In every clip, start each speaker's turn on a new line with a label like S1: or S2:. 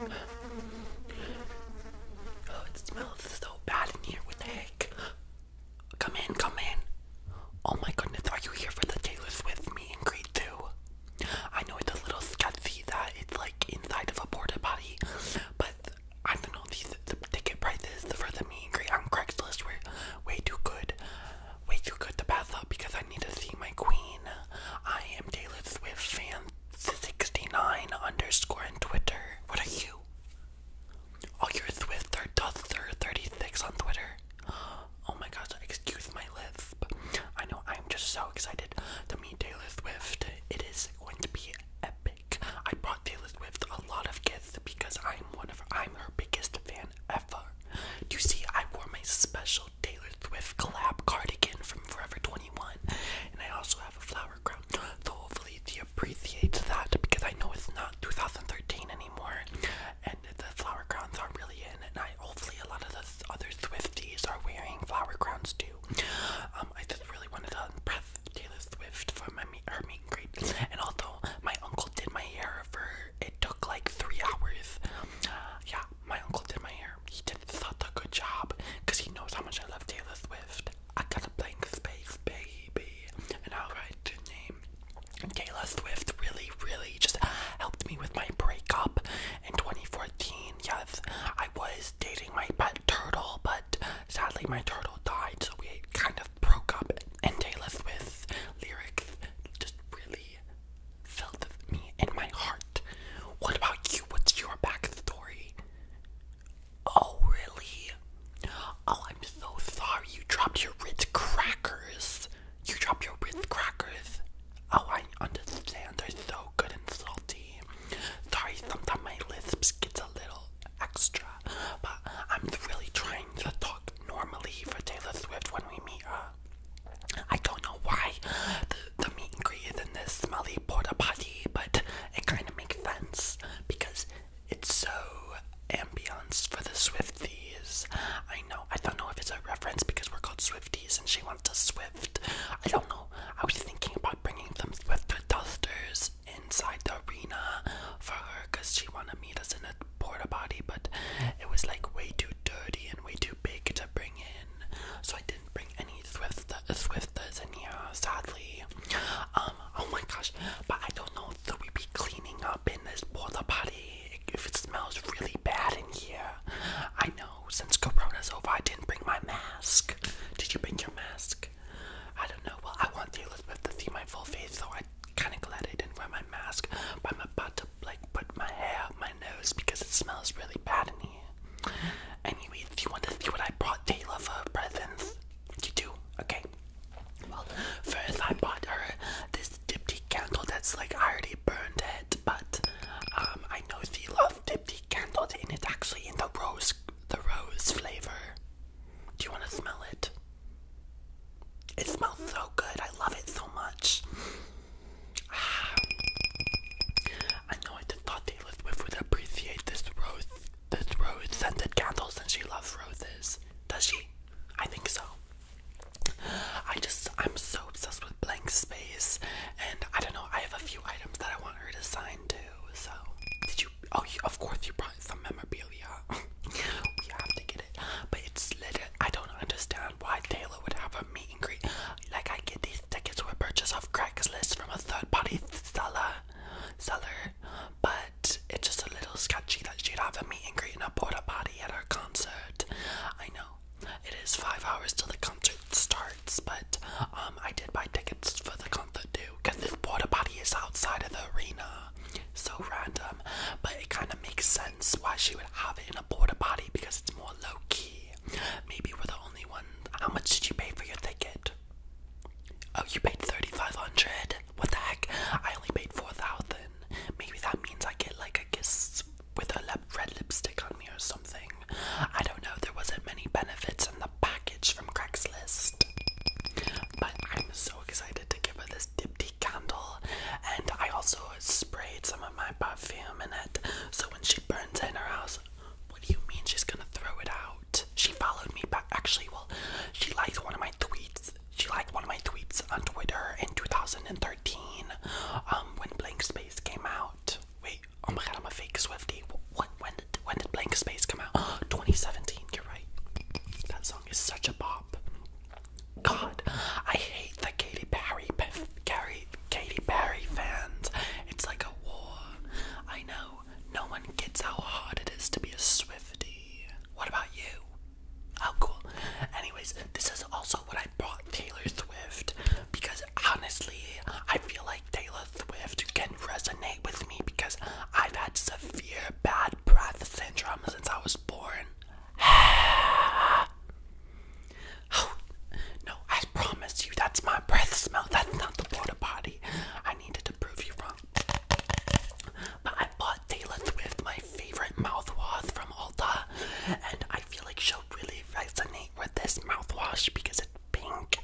S1: Oh, it smells so bad in here. What the heck? Come in, come in. Oh my goodness, are you here for the Taylor Swift meet and greet too? I know it's a little sketchy that it's like inside of a porta potty, but I don't know these the ticket prices for the meet and greet on Craigslist were way too good, way too good to pass up because I need to see my queen. I am Taylor Swift fan 69 underscore on Twitter. What are you? Oh, you're Twitter Duther 36 on Twitter. Oh my gosh, excuse my lisp. I know, I'm just so excited to meet Taylor Swift. It is going to be epic. I brought Taylor Swift a lot of gifts because I'm one of I'm her biggest fan ever. You see, I wore my special Taylor Swift collab cardigan from Forever 21. And I also have a flower crown. So hopefully she appreciates that because I know it's not 2013 anymore. And the flower crowns are not really in. And I hopefully a lot of the other Swifties are wearing flower crowns too. Um, I just really wanted to breath Taylor Swift for my her meet and And although my uncle did my hair for it took like three hours. Yeah, my uncle did my hair. He did such a good job because he knows how much I love Taylor Swift. I got a blank space, baby. And I'll write the name. Taylor Swift really, really just helped me with my breakup in 2014. Yes, I was dating my pet turtle, but sadly my turtle died, so we kind of broke up. And Taylor Swift lyrics just really filled me in my heart. What about you? What's your backstory? Oh, really? Oh, I'm so sorry. You dropped your Ritz crackers. You dropped your Ritz crackers. Oh, I understand. They're so good and salty. Sorry, sometimes my lips get a little extra, but I'm really trying to talk normally for Taylor Swift when we meet her. I don't know why the, the meat is in this smelly porta potty, but it kind of makes sense because it's so ambience for the Swifties. I know, I don't know if it's a reference because we're called Swifties and she wants a Swift. I don't know. I was thinking about bringing them Swifter dusters inside the arena for her because she wanted to meet us in a porta potty, but it was like way too dirty and way too big to bring in so I didn't bring any Swift Swifters in here, sadly. Um, oh my gosh, but I don't know if we be cleaning up in this porta potty if it smells really bad in here. I know since Corona's over, I didn't bring my mask. Did you bring your mask? I don't know. Well, I want Taylor Swift to see my full face, so I am kind of glad I didn't wear my mask. But I'm about to like put my hair my nose because it smells really bad in here. Anyway, if you want to see what I brought Taylor for presents, you do, okay? Well, first I bought her this dipty candle that's like I already burned it, but um, I know she loves dipty candles and it's actually in the rose, the rose flavor. Do you want to smell it? It smells so good. I love it so much. I know I just thought Taylor Swift would appreciate this rose, this rose scented candles, since she loves roses. Does she? I think so. I just, I'm so obsessed with blank space, and I don't know, I have a few items that I want her to sign too, so. Did you, oh, you, of course you brought some memorabilia. we have to get it, but it's lit. I don't understand why Taylor would have meet and greet. Like I get these tickets with purchase off Craigslist from a third party seller, seller, but it's just a little sketchy that she'd have a meet and greet in a porta potty at her concert. I know it is five hours till the concert starts, but um, I did buy tickets for the concert too because this porta potty is outside of the arena. So random, but it kind of makes sense why she would have it in a porta because it's more low key. Maybe we're the only ones. How much did you pay for your ticket? Oh, you paid thirty five hundred. What the heck? I only paid four thousand. Maybe that means I get like a kiss with a red lipstick on me or something. I don't know. There wasn't many benefits in the package from Craigslist, but I'm so excited to give her this this dipty candle, and I also sprayed some of my perfume in it. So when she burns in her house, what do you mean she's gonna throw it out? She followed me back. Actually, well, she liked one of my tweets. She liked one of my tweets on Twitter in 2013 um, when Blank Space came out. Wait, oh my god, I'm a fake Swifty. When, when, did, when did Blank Space come out? 2017, you're right. That song is such a bop. God, I hate the Katy Perry, Perry, Katy Perry fans. It's like a war. I know no one gets how hard it is to be a Swiftie. What about you? Oh, cool. Anyways, this is also what I brought Taylor Swift because honestly, I feel like Taylor Swift can resonate with me because I've had severe bad breath syndrome since I was born. Oh, no, I promise you that's my breath smell. That's not the water body. I needed to prove you wrong. But I bought Taylor Swift, my favorite mouthwash from Ulta, and I feel like she'll really resonate with this mouthwash because it's pink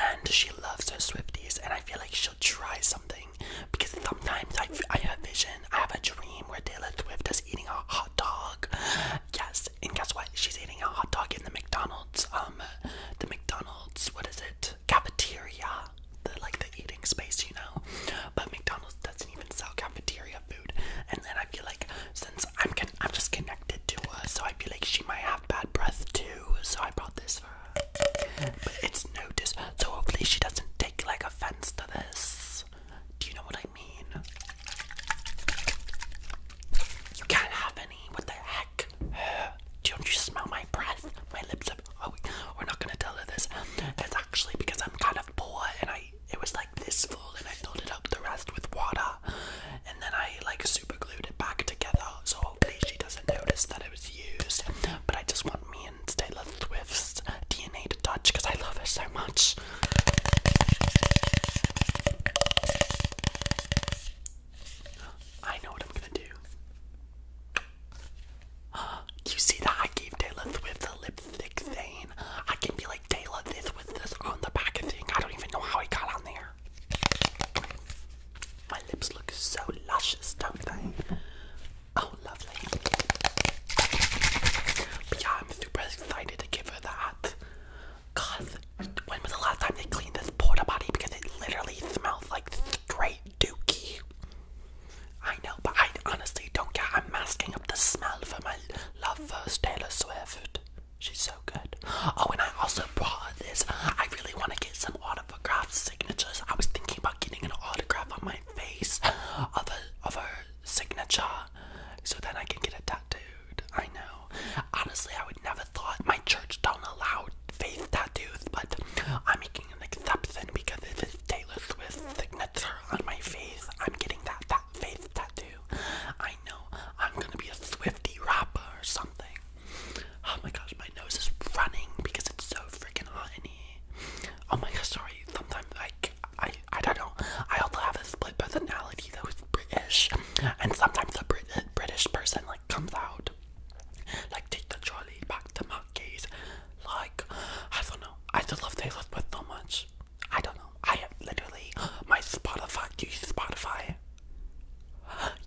S1: and she loves her Swifties, and I feel like she'll try something because sometimes I, I have a vision, I have a dream where Taylor Swift does eating a hot dog. Yes, and guess what? She's eating a hot dog in the McDonald's. Um, the McDonald's. What is it? Cafeteria. The like the eating space, you know. But McDonald's doesn't even sell cafeteria food. And then I feel like since I'm I'm just connected to her, so I feel like she might have bad breath too. So I brought this for her. But it's no dis. So hopefully she doesn't take like offense to this. Do you know what I mean? You can't have any. What the heck? Don't you smell my breath? My lips are. Oh, we're not gonna tell her this. It's actually because I'm kind of poor and I. It was like this full and I filled it up the rest with water. And then I like super glued it back together. So hopefully she doesn't notice that it was used. But I just want me Taylor Swift's DNA to touch because I love her so much. I know what I'm gonna do. You see that I gave Taylor Swift the lipstick stain. I can be like Taylor, this was this on the back of thing. I don't even know how he got on there. My lips look so luscious, don't they? Oh, lovely. yeah, I'm super excited to give her that. Cause when was the last time they cleaned this porta potty? Because it literally smells like straight dookie. I know, but I honestly don't care. I'm masking up the smell for my love Taylor Swift. She's so good. Oh, and I also brought this. I really want to get some autograph signatures. I was thinking about getting an autograph on my face of a of her signature so then I can get it tattooed. I know. Honestly I would never thought my church don't allow face tattoos, but I'm making an exception because if it's Taylor Swift's signature on my face, I'm getting that that faith tattoo. I know I'm gonna be a Swifty rapper or something. Oh my gosh, my nose is running because it's so freaking hot in here. Oh my gosh, sorry. Sometimes like I I don't know. I also have a split personality that was British, and sometimes a Brit British person like comes out, like take the trolley back to Mackey's, like I don't know. I still love Taylor Swift so much. I don't know. I have literally my Spotify. Do you Spotify?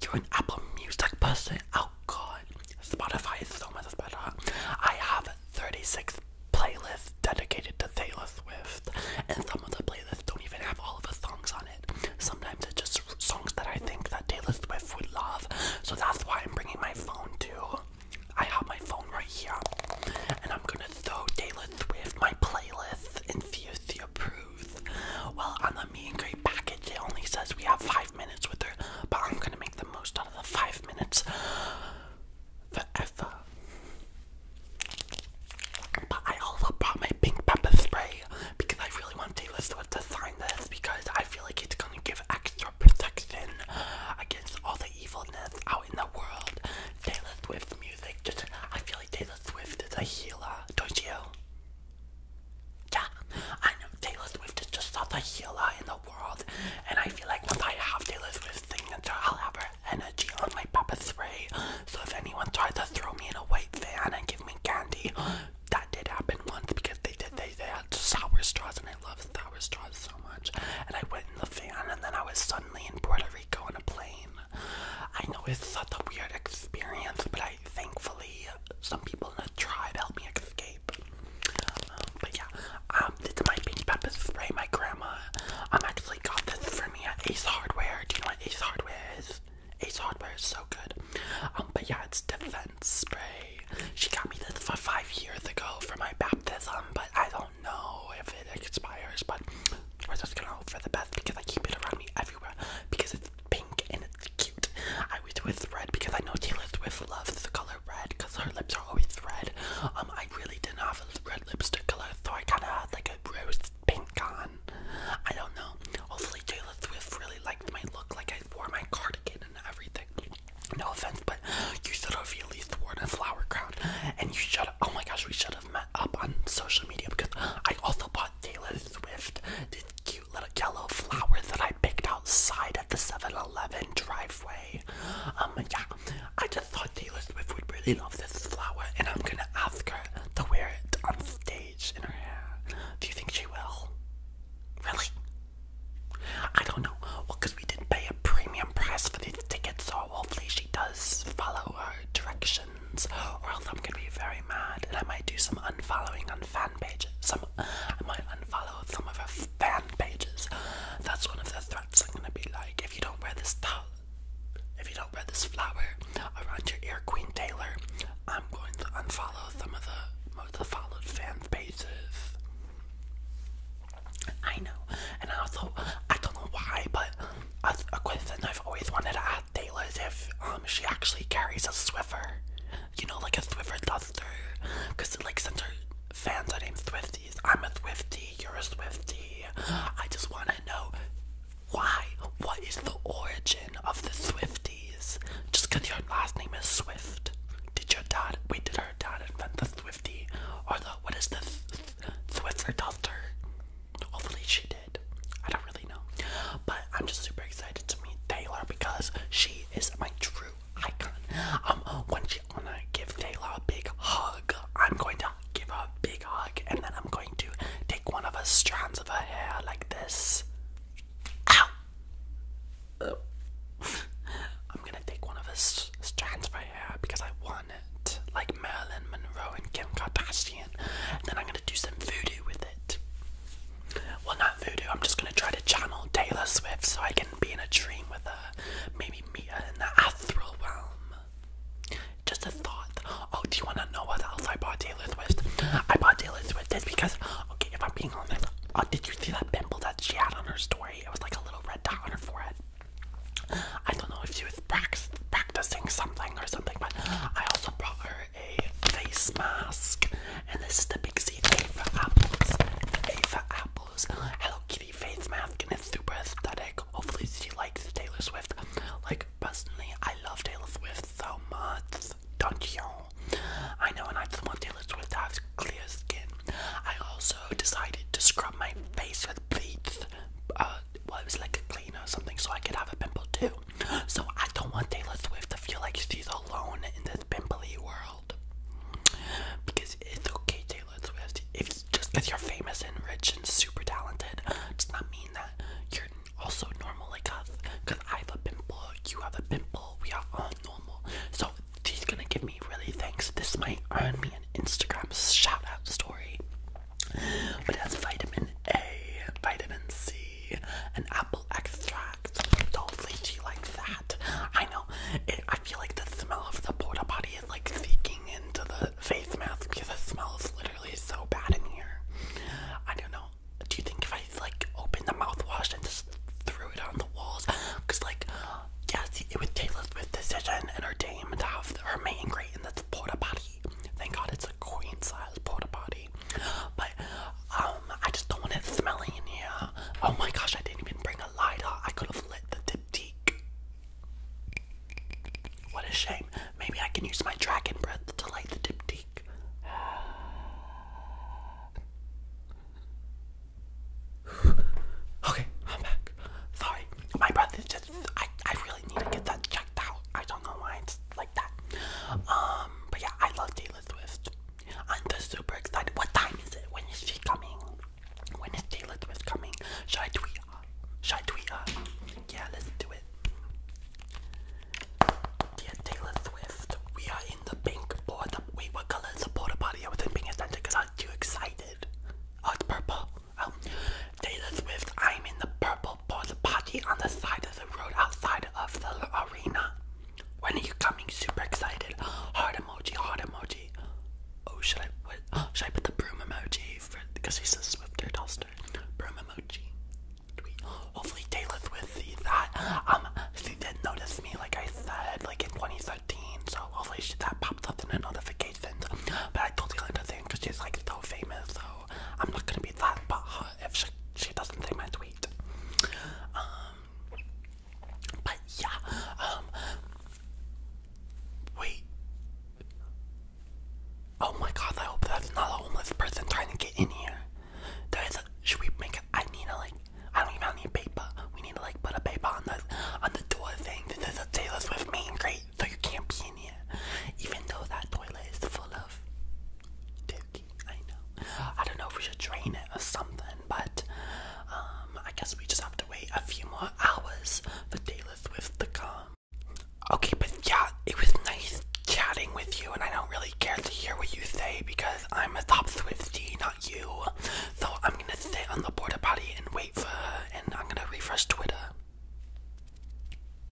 S1: You're an Apple Music person. Oh God, Spotify is so much better. I have 36 playlist dedicated to Taylor Swift, and some of the playlists don't even have all of the songs on it. Sometimes it's just songs that I think that Taylor Swift would love, so that's why I'm bringing my phone too. I have my phone right here, and I'm gonna throw Taylor Swift my playlist and see if she approves. Well, on the meet and greet package, it only says we have five minutes with her, but I'm gonna make the most out of the five minutes forever. But I also brought my pink pepper spray because I really want Taylor Swift to sign this because I feel like it's gonna give extra protection against all the evilness out in the world. Taylor Swift's music just I feel like Taylor Swift is a healer, don't you? Yeah, I know Taylor Swift is just such a healer in the and I feel like once I have to Taylor Swift's signature, I'll have energy on my pepper 3. So if anyone tried to throw me in a white van and give me candy, that did happen once because they did they, they had sour straws and I love sour straws so much. And I went in the van and then I was suddenly in Puerto Rico on a plane. I know it's such a weird experience, but I thankfully some people tried to help me escape. Um, but yeah, um, this is my Beanie Peppa spray. My grandma um actually got this for me at Ace Hardware. Do you know what Ace Hardware is? Ace Hardware is so good. Um, but yeah, it's defense spray. She got me this for five years ago for my baptism, but I don't know if it expires. But we're just gonna hope for the best because I keep it around me everywhere because it's pink and cute. I went with red because I know Taylor Swift loves the color red because her lips are always red. Um, I really didn't have a red to color, so I kind of had like a rose pink on. I don't know. Hopefully, Taylor Swift really liked my look. Like I wore my cardigan and everything. No offense, but you should have at least worn a flower crown. And you should. have. Oh my gosh, we should have met up on social media because I also bought Taylor Swift this cute little yellow flower that I picked outside at the 7-Eleven driveway. Um, yeah, I just thought Taylor Swift would really love this flower, and I'm gonna ask her to wear it on stage in her hair. Do you think she will? Really? I don't know. Well, because we didn't pay a premium price for these tickets, so hopefully she does follow our directions, or else I'm gonna be very mad, and I might do some unfollowing on and fan pages. Some I might unfollow some of her fan pages. That's one of the threats. I'm gonna be like, if you don't wear this towel, if you don't wear this flower around your ear, Queen Taylor, I'm going to unfollow some of the most followed fan pages. I know, and I also I don't know why, but a question I've always wanted to ask Taylor is if um, she actually carries a Swiffer you know, like a Swiffer duster. Because, like, since her fans are named Swifties, I'm a Swiftie, you're a Swiftie. I just want to know why. What is the origin of the Swifties? Just because your last name is Swift. Did your dad, wait, did her dad invent the Swiftie? Or the, what is the Swiffer duster? Hopefully she did. I don't really know. But I'm just super excited to meet Taylor because she is my true icon. Um, when she wanna give Taylor a big hug, I'm going to give her a big hug, and then I'm going to take one of her strands of her hair like this. Ow! Oh. I'm gonna take one of her strands of her hair because I want it, like Marilyn Monroe and Kim Kardashian. And then I'm gonna do some voodoo with it. Well, not voodoo. I'm just gonna try to channel Taylor Swift so I can be in a dream with her. Maybe meet her in the astral realm. Just a thought. Oh, do you wanna know what else I bought Taylor Swift? I bought Taylor Swift this because, okay, if I'm being honest, oh, did you see that pimple that she had on her story? It was like a little red dot on her forehead. I don't know if she was practicing something or something, but I also brought her a face mask, and this is the Pixie A for apples. The apples. Hello Kitty face mask, and it's super aesthetic. Hopefully, she likes Taylor Swift. Like personally, I love Taylor Swift so much. Don't you? I know, and I just want Taylor Swift to have clear skin. I also decided to scrub my face with bleach. Uh, well, it was like a cleaner or something, so I could have a pimple too. So I don't want Taylor Swift to feel like she's alone in this pimply world. Because it's okay, Taylor Swift. If just because you're famous and rich and super talented does not mean that you're also normal like us. Because I have a pimple, you have a pimple, we are all normal. So she's gonna give me really thanks. This might earn me an Instagram shout out story. But that's vitamin A, vitamin C an apple extract. Don't lychee that. I know. I feel like the smell of the porta potty is like seeking into the face mask because the smell is literally so bad in here. I don't know. Do you think if I like opened the mouthwash and just threw it on the walls? Because like, yes, it was Taylor Swift's decision and her dame to her main great in this porta potty. Thank God it's a queen size porta potty. But um, I just don't want it smelling in here. Oh my gosh, I didn't even bring a lighter. I could have lit the diptyque. What a shame. Maybe I can use my dragon breath to light the diptyque. Okay, I'm back. Sorry, my breath is just. I, I really need to get that checked out. I don't know why it's um, but yeah, I love Taylor Swift. I'm just super excited. What time is it? When is she coming? When is Taylor Swift coming? Should I tweet her? Should I tweet her? Yeah, let's do it. Dear Taylor Swift, we are in the pink border. Wait, what color is the border party? I wasn't paying attention because I was too excited. Oh, it's purple. Oh, Taylor Swift, I'm in the purple porta potty on the side of the road outside of the arena. When are you coming? Super excited. Heart emoji, heart emoji. Oh, should I what, should I put the broom emoji for because she's a swifter toaster? Broom emoji. Tweet. Hopefully Taylor Swift sees that. Um, she did not notice me, like I said, like in 2013. So hopefully she, that pops up in the notifications. But I told totally understand because she's like so famous. though. I'm not gonna be that but if she, doesn't see my tweet. Um, but yeah, um, wait. Oh my god, I hope there's not a homeless person trying to get in here. There is a, should we make I need a like, I don't even need paper. We need to like put a paper on the, on the door thing. This is a Taylor Swift main grate, so you can't be in here. Even though that toilet is full of Dookie, I know. I don't know if we should drain it or something, but um, I guess we just have to wait a few more hours for Taylor Swift to come. Okay, but yeah, it was nice chatting with you, and I don't really care to hear what you say because I'm a top Swifty, not you. So I'm gonna sit on the border party and wait for her, and I'm gonna refresh Twitter.